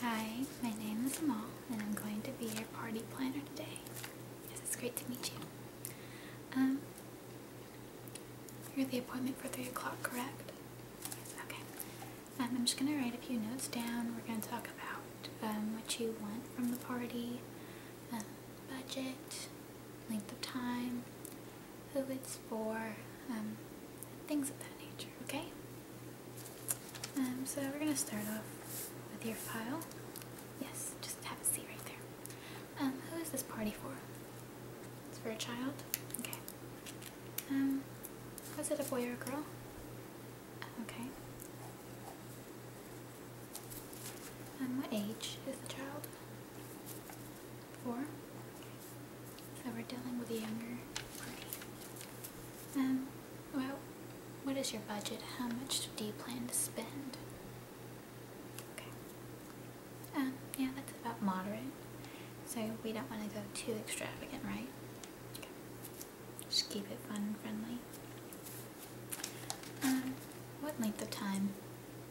Hi, my name is Amal and I'm going to be your party planner today. it's great to meet you. Um, you're the appointment for 3 o'clock, correct? Yes, okay. Um, I'm just going to write a few notes down. We're going to talk about um, what you want from the party, um, budget, length of time, who it's for, um, things of that nature, okay? Um, so we're gonna start off with your file. Yes, just have a seat right there. Um, who is this party for? It's for a child? Okay. Um, was it a boy or a girl? Okay. And um, what age is the child? Four? So we're dealing with a younger party. Um, well, what is your budget? How much do you plan to spend? Okay. Um, yeah, that's about moderate. So we don't want to go too extravagant, right? Just keep it fun and friendly. Um, what length of time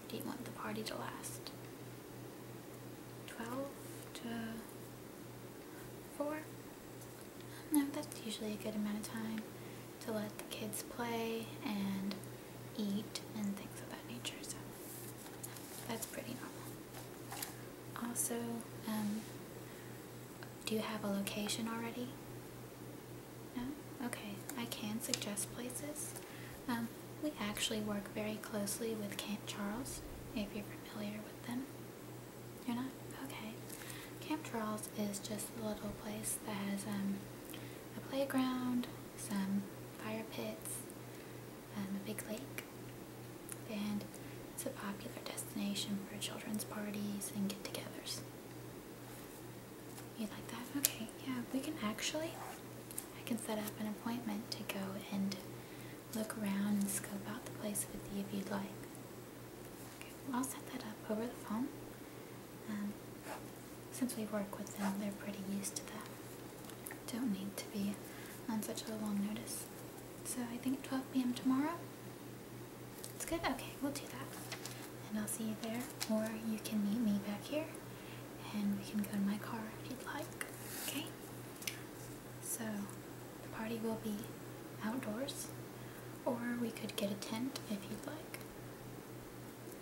do you want the party to last? 12 to Four. No, that's usually a good amount of time to let the kids play and eat and things of that nature, so that's pretty normal. Also, um, do you have a location already? No? Okay, I can suggest places. Um, we actually work very closely with Camp Charles, if you're familiar with them. You're not? Okay. Camp Charles is just a little place that has um, a playground, some fire pits, um, a big lake, and it's a popular destination for children's parties and get-togethers. You like that? Okay, yeah, we can actually, I can set up an appointment to go and look around and scope out the place with you if you'd like. Okay, I'll set that up over the phone. Um, since we work with them, they're pretty used to that. Don't need to be on such a long notice. So I think 12 p.m. tomorrow? It's good? Okay, we'll do that. And I'll see you there, or you can meet me back here, and we can go to my car if you'd like, okay? So the party will be outdoors, or we could get a tent if you'd like.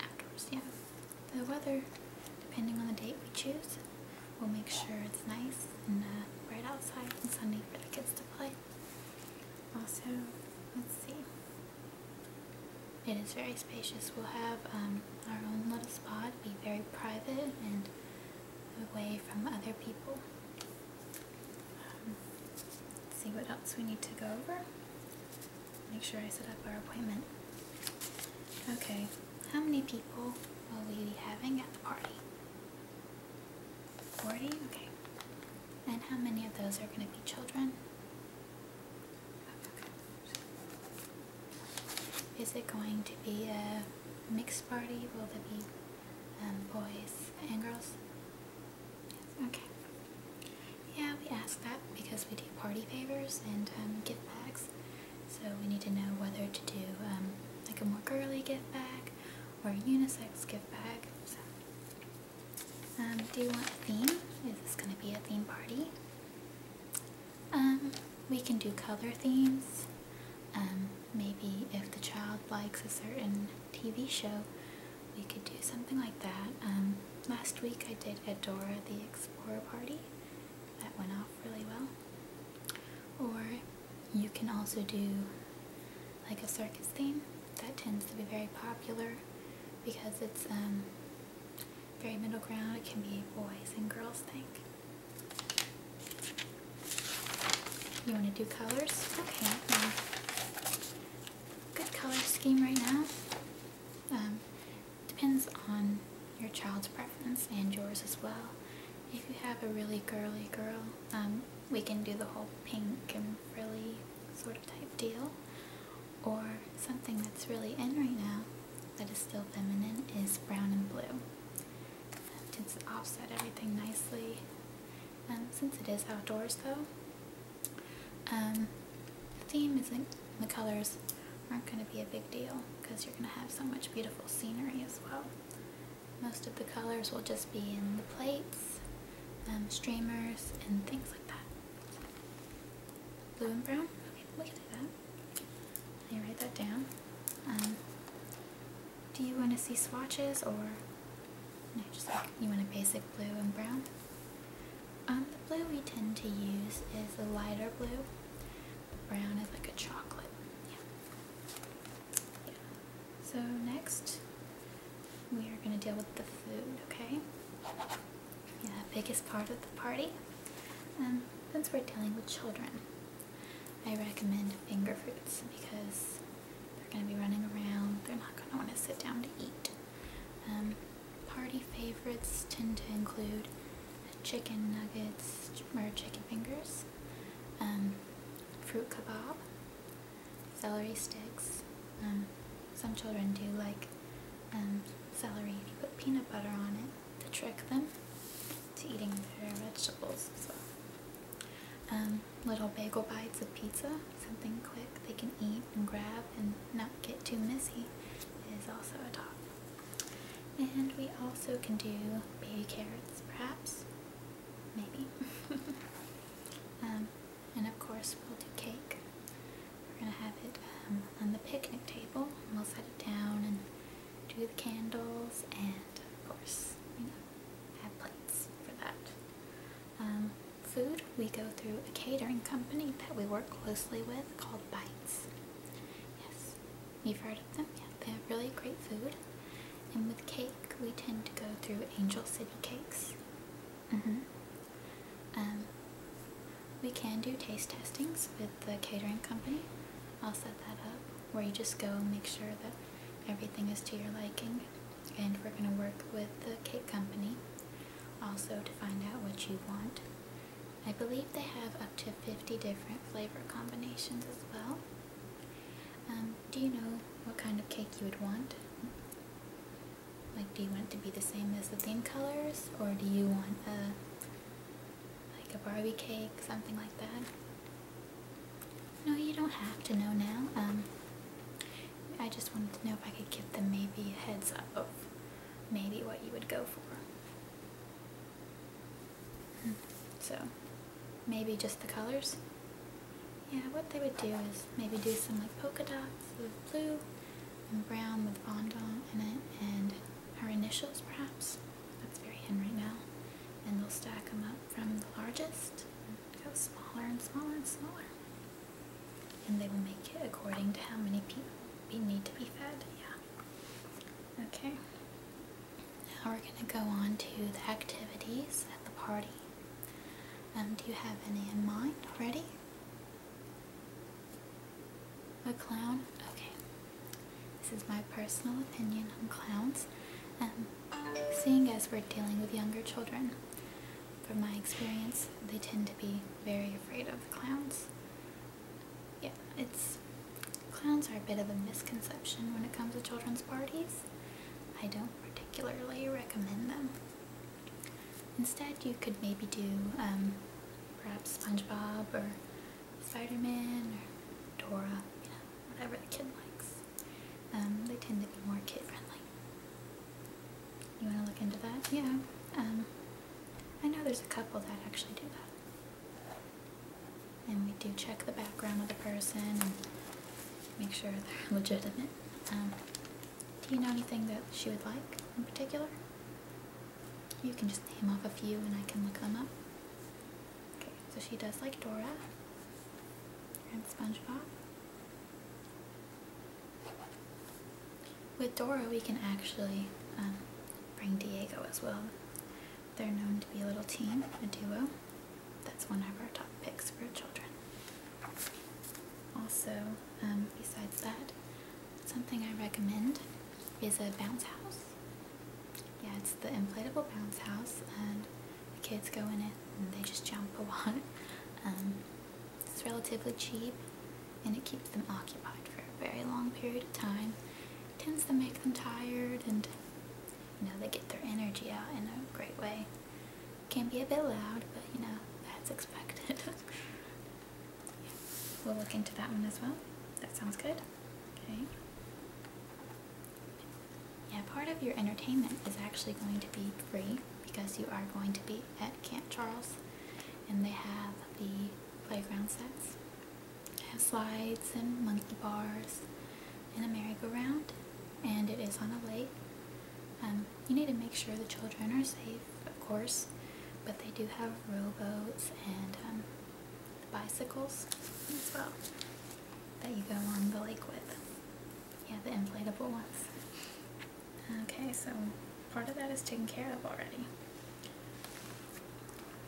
Outdoors, yeah. The weather, depending on the date we choose, we'll make sure it's nice and uh, right outside and sunny for the kids to play. Also, let's see. It is very spacious. We'll have um, our own little spot, be very private and away from other people. Um, see what else we need to go over. Make sure I set up our appointment. Okay, how many people will we be having at the party? 40? Okay. And how many of those are going to be children? Is it going to be a mixed party? Will there be um, boys and girls? okay. Yeah, we ask that because we do party favors and um, gift bags. So we need to know whether to do um, like a more girly gift bag or a unisex gift bag. do you want a theme? Is this going to be a theme party? Um, we can do color themes. Um, maybe if the child likes a certain TV show, we could do something like that. Um, last week I did Adora the Explorer Party. That went off really well. Or you can also do like a circus theme. That tends to be very popular because it's um, very middle ground. It can be boys and girls think. You want to do colors? Okay. Um, good color scheme right now. Um, depends on your child's preference and yours as well. If you have a really girly girl, um, we can do the whole pink and frilly sort of type deal. Or something that's really in right now, that is still feminine is brown and blue. That tends to offset everything nicely. Um, since it is outdoors though, um, the theme isn't, the colors aren't going to be a big deal because you're going to have so much beautiful scenery as well. Most of the colors will just be in the plates, um, streamers, and things like that. Blue and brown? Okay, we can do that. Let write that down. Um, do you want to see swatches or you want a basic blue and brown? Um, the blue we tend to use is a lighter blue. brown is like a chocolate. yeah. So next, we are going to deal with the food, okay? Yeah, biggest part of the party. Um, since we're dealing with children. I recommend finger foods because they're going to be running around. They're not going to want to sit down to eat. Um, party favorites tend to include chicken nuggets or chicken fingers, um, fruit kebab, celery sticks. Um, some children do like celery if you put peanut butter on it to trick them to eating their vegetables so um, little bagel bites of pizza, something quick they can eat and grab and not get too messy is also a top. And we also can do baby carrots perhaps, maybe. Um, and of course we'll do cake. We're going to have it um, on the picnic table and we'll set it down and do the candles, and of course, we have plates for that. Um, food, we go through a catering company that we work closely with called Bites. Yes, you've heard of them? Yeah, they have really great food. And with cake, we tend to go through Angel City Cakes. Mm-hmm. Um, we can do taste testings with the catering company. I'll set that up where you just go and make sure that everything is to your liking. And we're going to work with the cake company also to find out what you want. I believe they have up to 50 different flavor combinations as well. Um, do you know what kind of cake you would want? Like, do you want it to be the same as the theme colors, or do you want a like a Barbie cake, something like that. No, you don't have to know now. Um, I just wanted to know if I could give them maybe a heads up of maybe what you would go for. Hmm. So, maybe just the colors? Yeah, what they would do is maybe do some like polka dots with blue and brown with fondant in it and her initials perhaps. That's very in now. And we'll stack them up from the largest and go smaller and smaller and smaller. And they will make it according to how many people we need to be fed. Yeah. Okay. Now we're going to go on to the activities at the party. Um, do you have any in mind already? A clown? Okay. This is my personal opinion on clowns, um, seeing as we're dealing with younger children. From my experience, they tend to be very afraid of clowns. Yeah, it's... Clowns are a bit of a misconception when it comes to children's parties. I don't particularly recommend them. Instead, you could maybe do um, perhaps SpongeBob or Spider-Man or Dora, you know, whatever the kid likes. Um, they tend to be more kid-friendly. You want to look into that? Yeah. Um, I know there's a couple that actually do that. And we do check the background of the person and make sure they're legitimate. Um, do you know anything that she would like in particular? You can just name off a few and I can look them up. Okay, so she does like Dora and SpongeBob. With Dora, we can actually um, bring Diego as well. They're known to be a little team, a duo. That's one of our top picks for children. Also, um, besides that, something I recommend is a bounce house yeah, it's the inflatable bounce house, and the kids go in it and they just jump a lot. Um, it's relatively cheap, and it keeps them occupied for a very long period of time. It tends to make them tired, and you know they get their energy out in a great way. It can be a bit loud, but you know that's expected. we'll look into that one as well. That sounds good. Okay. Yeah, part of your entertainment is actually going to be free because you are going to be at Camp Charles and they have the playground sets. They have slides and monkey bars and a merry-go-round and it is on a lake. Um, you need to make sure the children are safe, of course, but they do have rowboats and um, bicycles as well that you go on the lake with. Yeah, the inflatable ones. Okay, so part of that is taken care of already.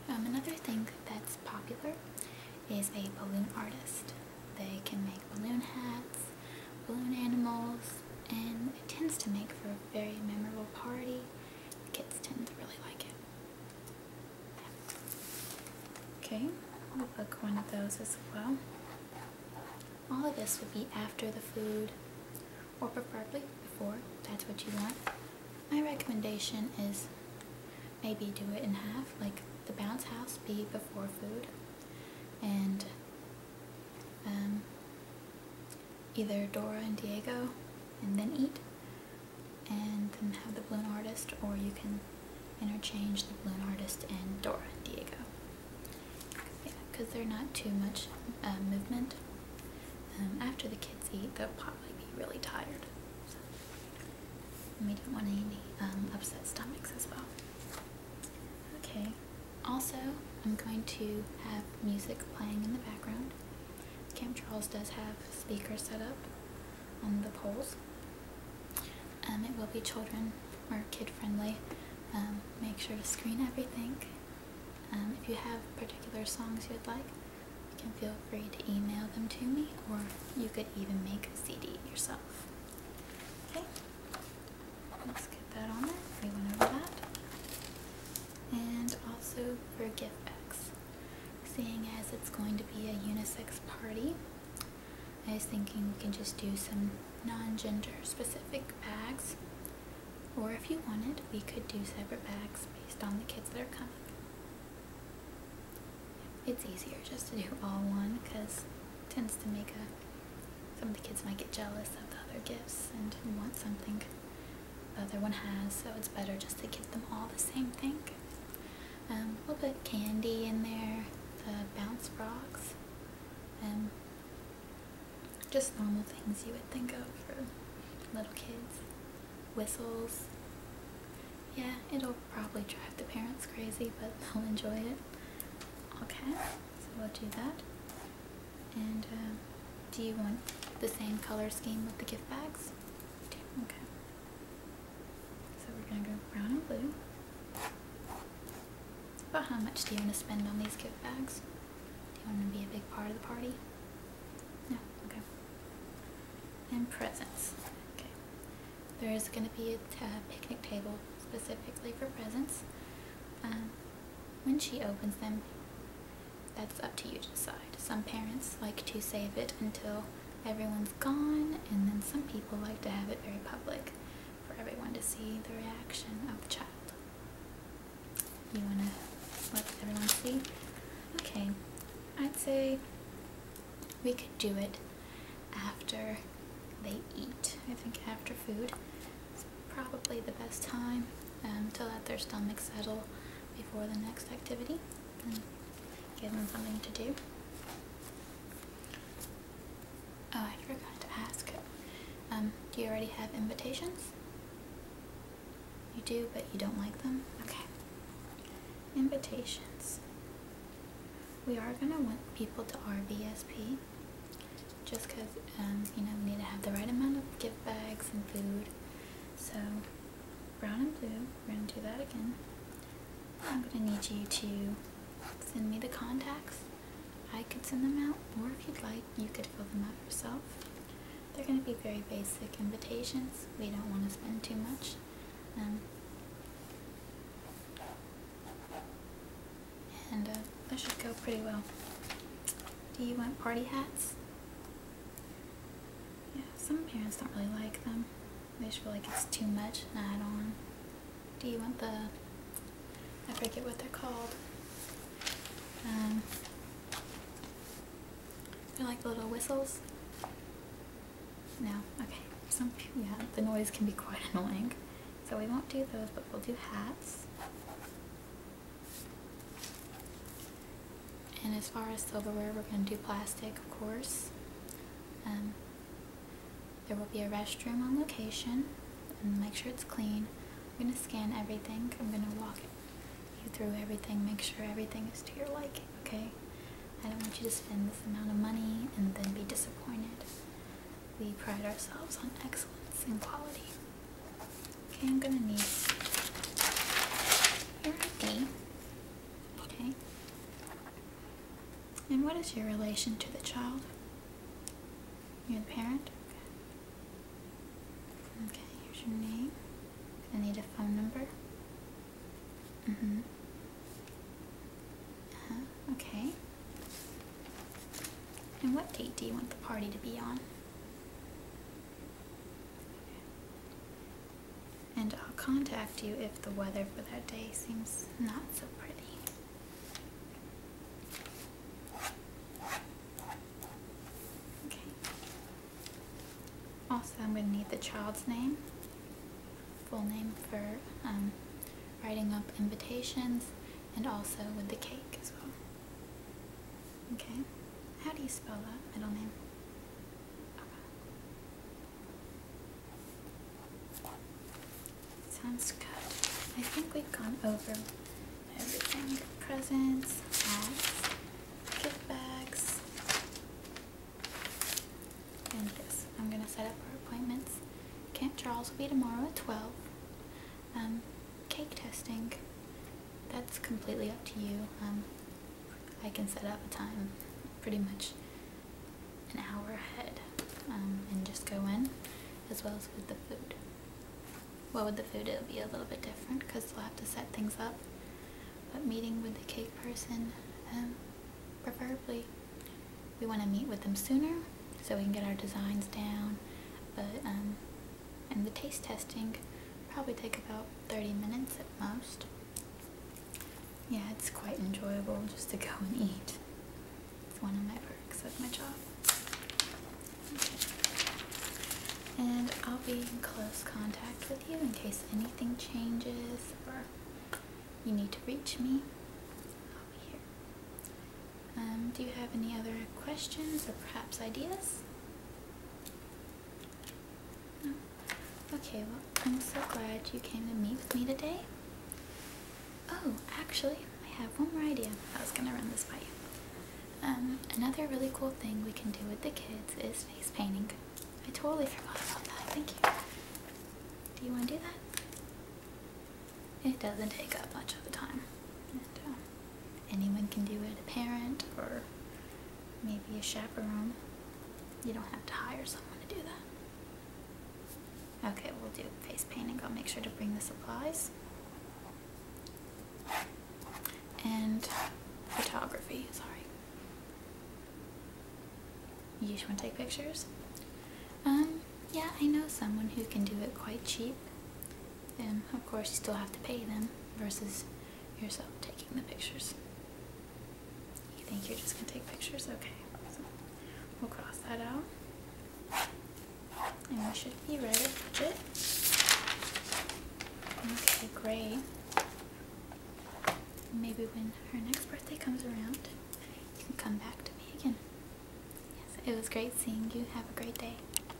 Um, another thing that's popular is a balloon artist. They can make balloon hats, balloon animals, and it tends to make for a very memorable party. The kids tend to really like it. Okay, we'll book one of those as well. All of this would be after the food, or preferably before, that's what you want. My recommendation is maybe do it in half, like the bounce house be before food, and um, either Dora and Diego and then eat and then have the balloon artist or you can interchange the balloon artist and Dora and Diego. Yeah, because they're not too much uh, movement. Um, after the kids eat, they'll probably be really tired. So. we don't want any um, upset stomachs as well. Okay, also I'm going to have music playing in the background Camp Charles does have speakers set up on the poles. Um, it will be children or kid friendly. Um, make sure to screen everything. Um, if you have particular songs you'd like, you can feel free to email them to me or you could even make a CD yourself. Okay, let's get that on there. We went over that and also for GiveX. Seeing as it's going to be a unisex party, I was thinking we can just do some non-gender specific bags, or if you wanted, we could do separate bags based on the kids that are coming. It's easier just to do all one because it tends to make a some of the kids might get jealous of the other gifts and want something the other one has, so it's better just to give them all the same thing. Um, we'll put candy in there, the bounce frogs, and um, just normal things you would think of for little kids. Whistles. Yeah, it'll probably drive the parents crazy, but they'll enjoy it. Okay, so we'll do that. And, um, do you want the same color scheme with the gift bags? Okay. So we're going to go brown and blue. About how much do you want to spend on these gift bags? Do you want to be a big part of the party? No? Okay. And presents. Okay. There is going to be a uh, picnic table specifically for presents. Um, when she opens them, that's up to you to decide. Some parents like to save it until everyone's gone, and then some people like to have it very public for everyone to see the reaction of the child. You want to let everyone see? Okay, I'd say we could do it after they eat. I think after food is probably the best time um, to let their stomach settle before the next activity and give them something to do. Oh, I forgot to ask. Um, do you already have invitations? You do, but you don't like them? Okay. Invitations. We are going to want people to RVSP just because, um, you know, we need to have the right amount of gift bags and food so brown and blue, we're going to do that again. I'm going to need you to send me the contacts. I could send them out, or if you'd like, you could fill them out yourself. They're going to be very basic invitations. We don't want to spend too much. Um, and uh, should go pretty well. Do you want party hats? Yeah, some parents don't really like them. They just feel like it's too much and add on. Do you want the, I forget what they're called. Um, they're like little whistles. No, okay. Some yeah, the noise can be quite annoying. So we won't do those, but we'll do hats. And as far as silverware, we're going to do plastic, of course. Um, there will be a restroom on location. And make sure it's clean. I'm going to scan everything. I'm going to walk you through everything. Make sure everything is to your liking, okay? I don't want you to spend this amount of money and then be disappointed. We pride ourselves on excellence and quality. Okay, I'm gonna need your ID. Okay. And what is your relation to the child? You're the parent? Okay. Okay, here's your name. I need a phone number. Mm-hmm. Uh -huh. Okay. And what date do you want the party to be on? And I'll contact you if the weather for that day seems not so pretty. Okay. Also, I'm going to need the child's name, full name for um, writing up invitations, and also with the cake as well. Okay. How do you spell that middle name? Sounds good. I think we've gone over everything. Presents, hats, gift bags, and this. I'm gonna set up our appointments. Camp Charles will be tomorrow at 12. Um, cake testing, that's completely up to you. Um, I can set up a time pretty much an hour ahead um, and just go in as well as with the food. Well, with the food it'll be a little bit different because they'll have to set things up. But meeting with the cake person, preferably we want to meet with them sooner so we can get our designs down. But and the taste testing probably take about 30 minutes at most. Yeah, it's quite enjoyable just to go and eat. It's one of my perks of my job. And I'll be in close contact with you in case anything changes or you need to reach me. I'll be here. Um, do you have any other questions or perhaps ideas? Oh. Okay, well, I'm so glad you came to meet with me today. Oh, actually, I have one more idea. I was gonna run this by you. Um, another really cool thing we can do with the kids is face painting. I totally forgot about that. Thank you. Do you want to do that? It doesn't take up much of the time. Um, anyone can do it, a parent or maybe a chaperone. You don't have to hire someone to do that. Okay, we'll do face painting. I'll make sure to bring the supplies. And photography, sorry. You want to take pictures? Um, yeah, I know someone who can do it quite cheap and of course you still have to pay them versus yourself taking the pictures. You think you're just going to take pictures? Okay. we'll cross that out. And we should be ready for it. Okay, gray. Maybe when her next birthday comes around, you can come back to me again. Yes, it was great seeing you. Have a great day.